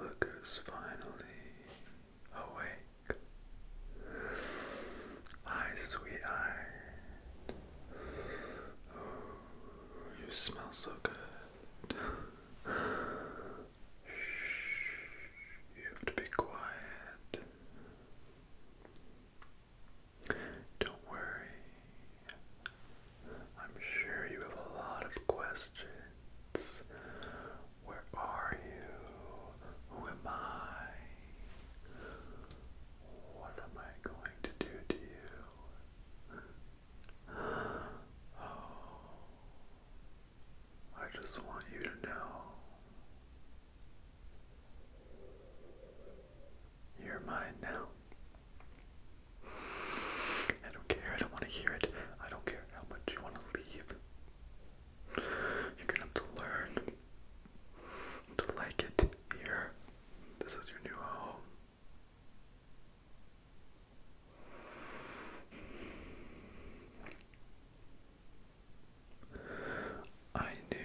Look who's finally awake. Hi, sweetheart. You smell so good. You have to be quiet. Don't worry. I'm sure you have a lot of questions. Where are you? Who am I? What am I going to do to you? Oh, I just want you to know you're mine now. I don't care. I don't want to hear it. I don't care how much you want to leave. You're gonna have to learn to like it here. This is your new home. I knew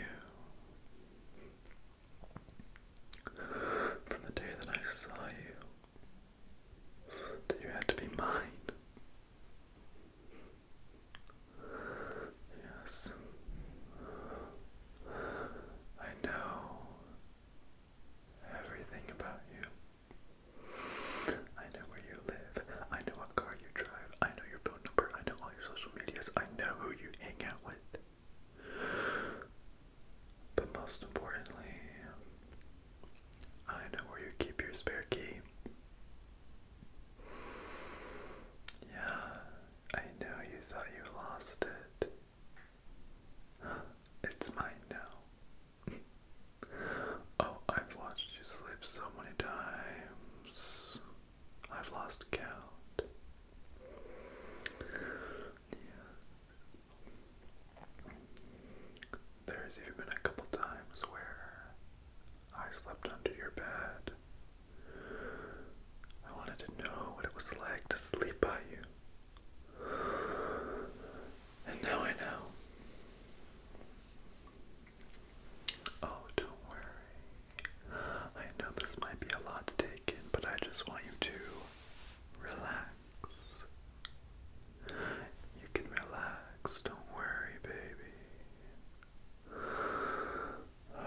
from the day that I saw you that you had to be mine. Yes. I know everything about you. I know where you live. I know what car you drive. I know your phone number. I know all your social medias. I know who you hang out with. But most importantly, I know where you keep your spare key. Yeah, I know you thought you lost it. It's mine now. oh, I've watched you sleep so many times. I've lost count. There's even been a couple times where I slept under your bed I wanted to know what it was like to sleep by you. And now I know. Oh, don't worry. I know this might be a lot to take in, but I just want you to relax. You can relax. Don't worry, baby. I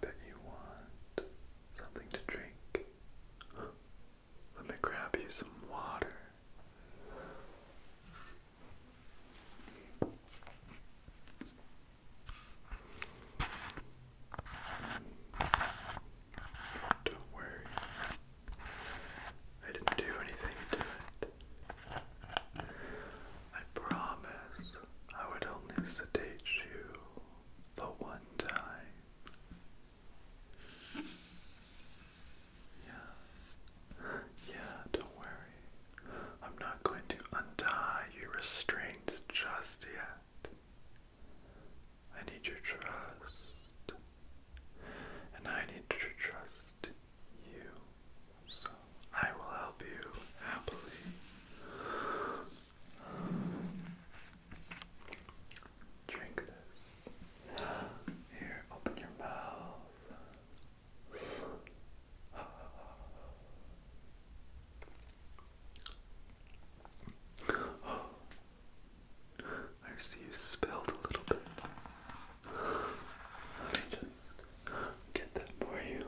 bet you want something to drink. Let me grab you some water. Don't worry, I didn't do anything to it. I promise I would only sedate you the one time. Yeah. Yeah, don't worry. I'm not going to untie your restraints just yet. I need your trust and I need to trust you. So I will help you happily. Drink this. Here, open your mouth. I see you spilled a little bit. Let me just get that for you.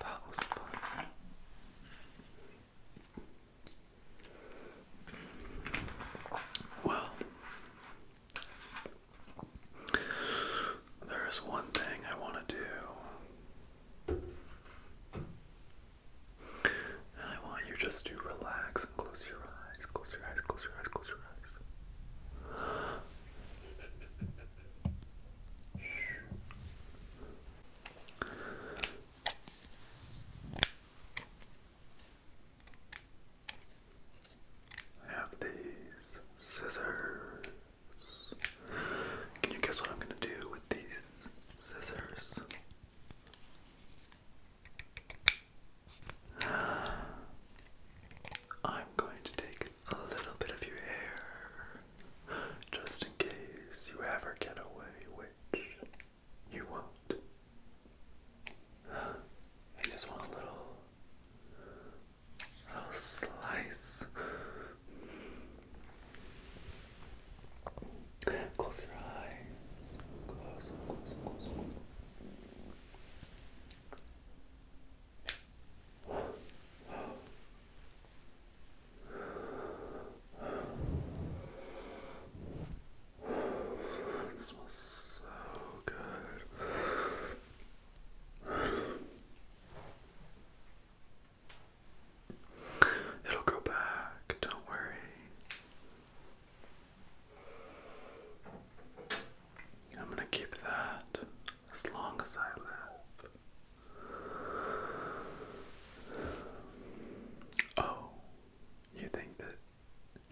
That was fun. Well, there is one thing I want to do and I want you just to relax and close your eyes, close your eyes, close your eyes, close your eyes. I have these scissors. Can you guess what I'm going to do with these scissors? I'm going to take a little bit of your hair just in case you ever get away, which you won't. I just want a little I'll slice. Close your eyes. Close, smells so good. It'll go back, don't worry. I'm going to keep that as long as I live. Oh, you think that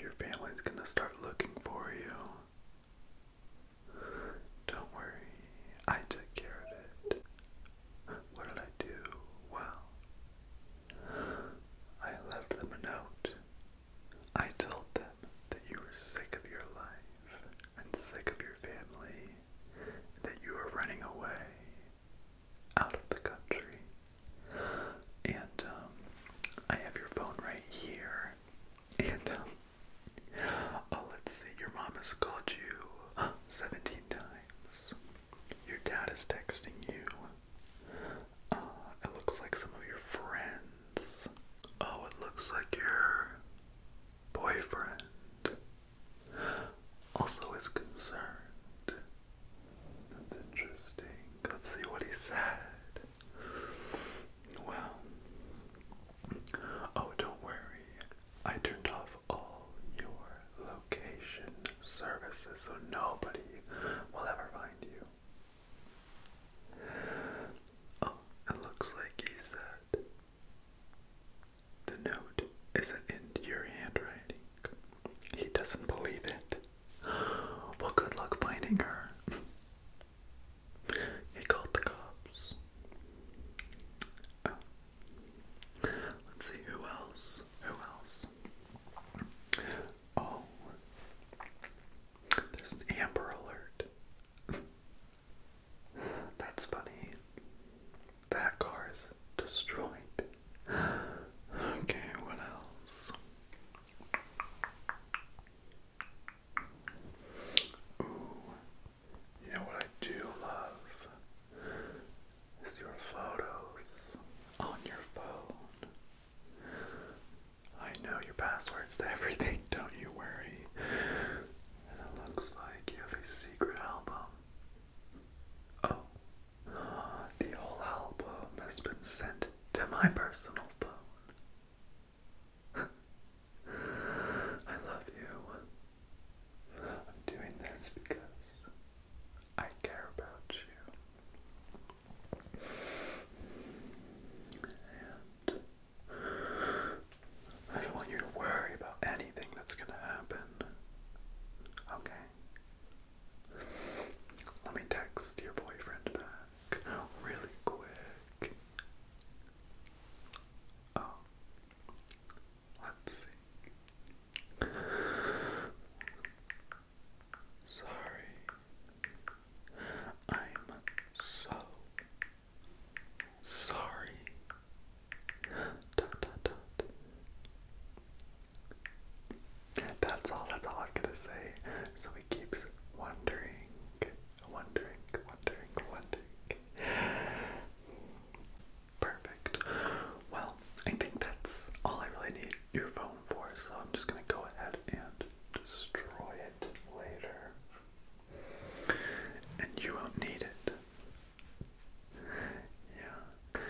your family's going to start looking for you don't worry, I took care of it. What did I do? Well, I left them a note. I told them that you were sick of your life and sick of your family, that you were running away out of the country. And um, I have your phone right here. And um, Oh, let's see. Your mom has called you 17 times. Your dad is texting you. Uh, it looks like some of your friends. Oh, it looks like your boyfriend also is concerned. That's interesting. Let's see what he said. Well, Oh, don't worry. I turned off all your location services so nobody will ever find you. Oh, it looks like he said the note isn't in your handwriting. He doesn't believe it. Well, good luck finding her. He called the cops. Oh. Let's see who else. Who else? Oh, there's an Amber Alert. That's funny. That car is destroyed. Okay, what else? Ooh, you know what I do love is your photos on your phone. I know your passwords to everything, don't you worry. And it looks like you have a secret album. Oh, the whole album has been sent to my personal phone. I love you. I'm doing this because I care about you. And I don't want you to worry about anything that's gonna happen. Okay? Let me text your boyfriend really quick. Oh, let's see. Sorry, I'm so sorry. That's all, that's all I'm gonna say. So keeps wondering, wondering, wondering, wondering. Perfect. Well, I think that's all I really need your phone for, so I'm just gonna go ahead and destroy it later. And you won't need it. Yeah. Yeah.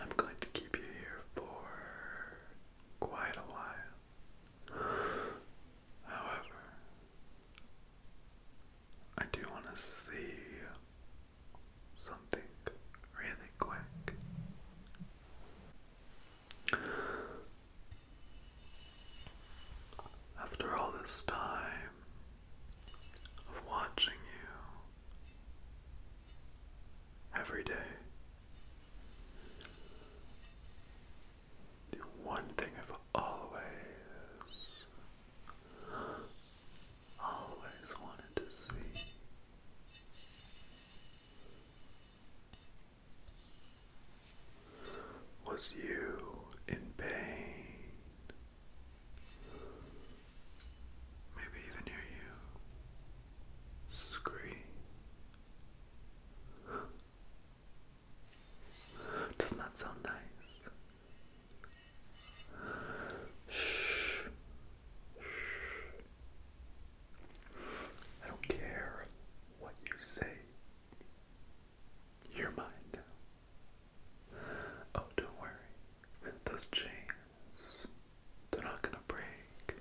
I'm going to keep you here for quite a while. However, I do want to see something really quick. After all this time of watching you every day, the one thing I've always, always wanted to see. Was you in pain? Maybe even near you. Scream. Doesn't that sound nice? Shh. Shh. I don't care what you say. You're Oh, don't worry. Those chains they're not gonna break.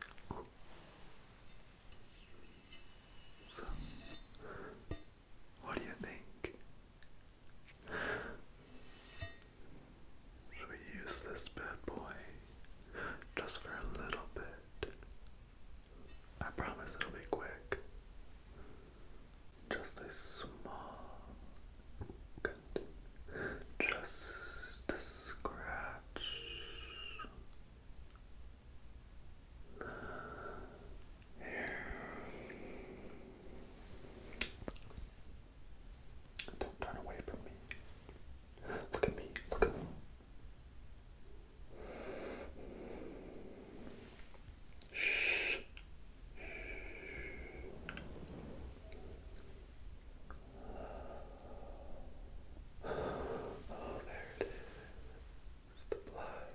So, what do you think? Should we use this bad boy just for a little bit? I promise it'll be quick. Just a small, just a scratch. Here. Don't turn away from me. Look at me. Look at me. Shh. Oh, there it is. The blood.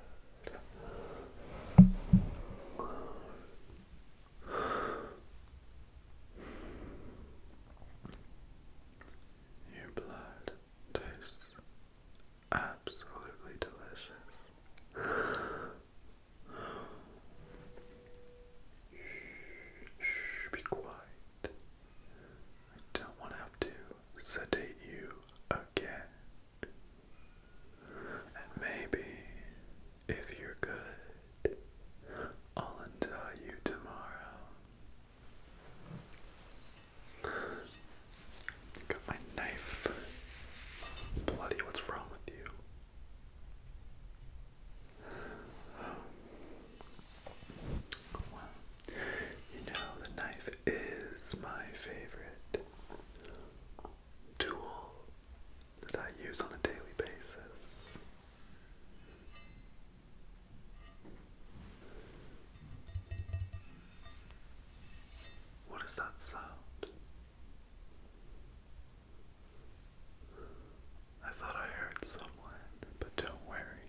Your blood tastes absolutely delicious. Shh, be quiet. I don't want to have to sedate you again. And maybe, if you're good, I'll untie you tomorrow. Got my knife. Bloody, what's wrong with you? Well, you know, the knife is my favorite tool that I use on a daily basis. What is that sound? I thought I heard someone, but don't worry.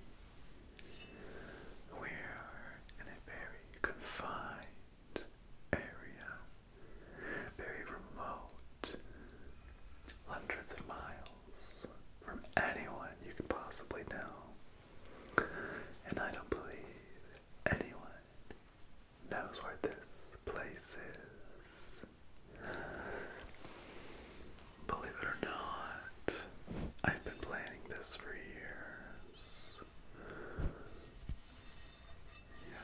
We are in a very confined area, very remote, hundreds of miles from anyone you could possibly know. And I don't believe anyone knows where this place is. Believe it or not, I've been planning this for years. Yeah.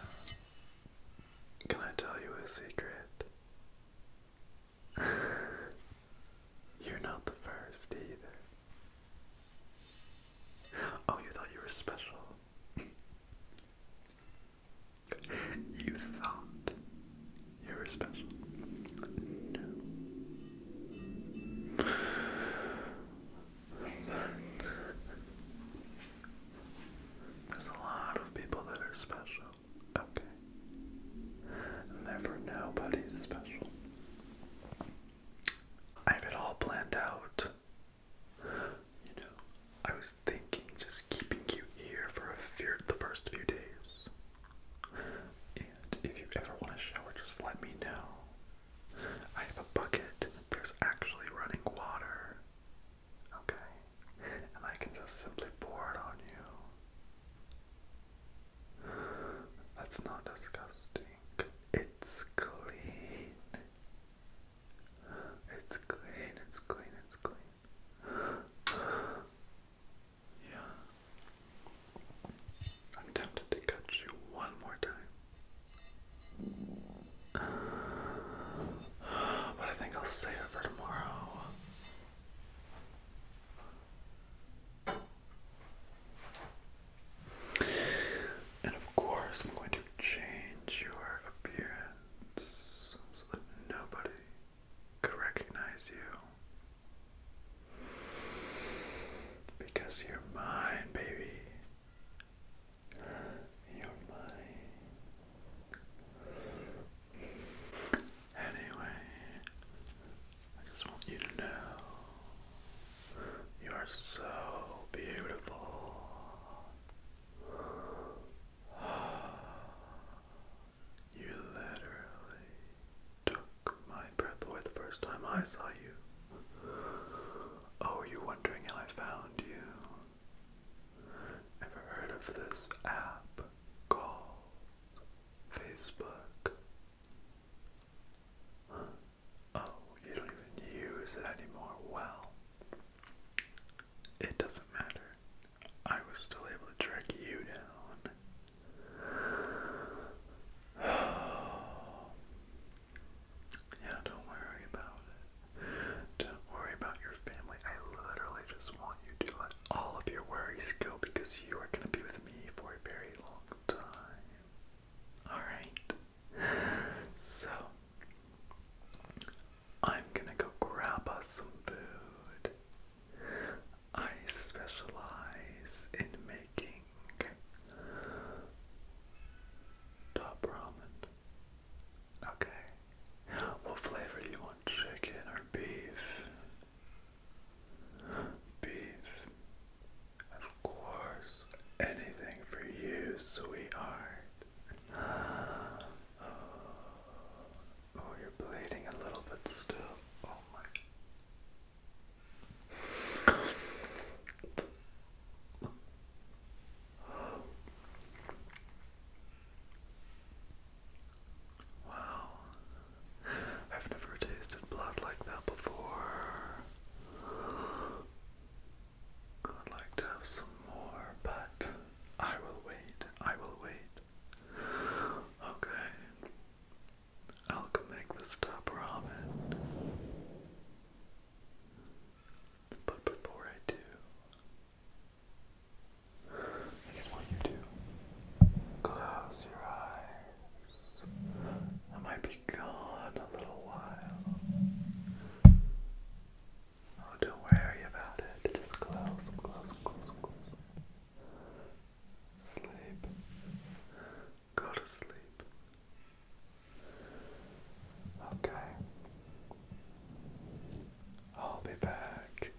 Can I tell you a secret? You're not the first either. Oh, you thought you were special. You thought you were special. But there's a lot of people that are special, okay? And nobody's special. I have it all planned out. You know, I was thinking just keeping you here for a few, the first few days. And if you ever want a shower, just let me know. I have a bucket. There's actually running water. Okay? And I can just simply pour it on you. That's not disgusting. It's clean. It's clean, it's clean, it's clean. Yeah. I'm tempted to catch you one more time. But I think I'll save it for tomorrow. And of course, I'm going to change your appearance so nobody could recognize you. Because you're mine, baby. You're mine. Anyway, I just want you to know you are so beautiful. You literally took my breath away the first time I saw you. Oh, you're wondering how I found you? Ever heard of this app called Facebook? Oh, you don't even use it anymore. Well, it doesn't matter. I was still able to track you down. yeah, don't worry about Don't worry about your family. I literally just want you to let all of your worries go because you are going to be with me for a very long time. Alright so I'm gonna go grab us some food. I specialize in making top ramen. Okay. What flavor do you want? Chicken or beef? Beef. Of course, anything for you, sweetheart. Ah. oh, you're bleeding a little bit still. Oh my. Wow. I've never tasted blood like that before. I would like to have some more, but I will wait. I will wait. Okay. I'll go make the stop ramen. But before I do, I just want you to close your eyes. I might be gone a little while. Oh, don't worry about it. Just close, close, close, close. Sleep. Go to sleep. Okay. I'll be back.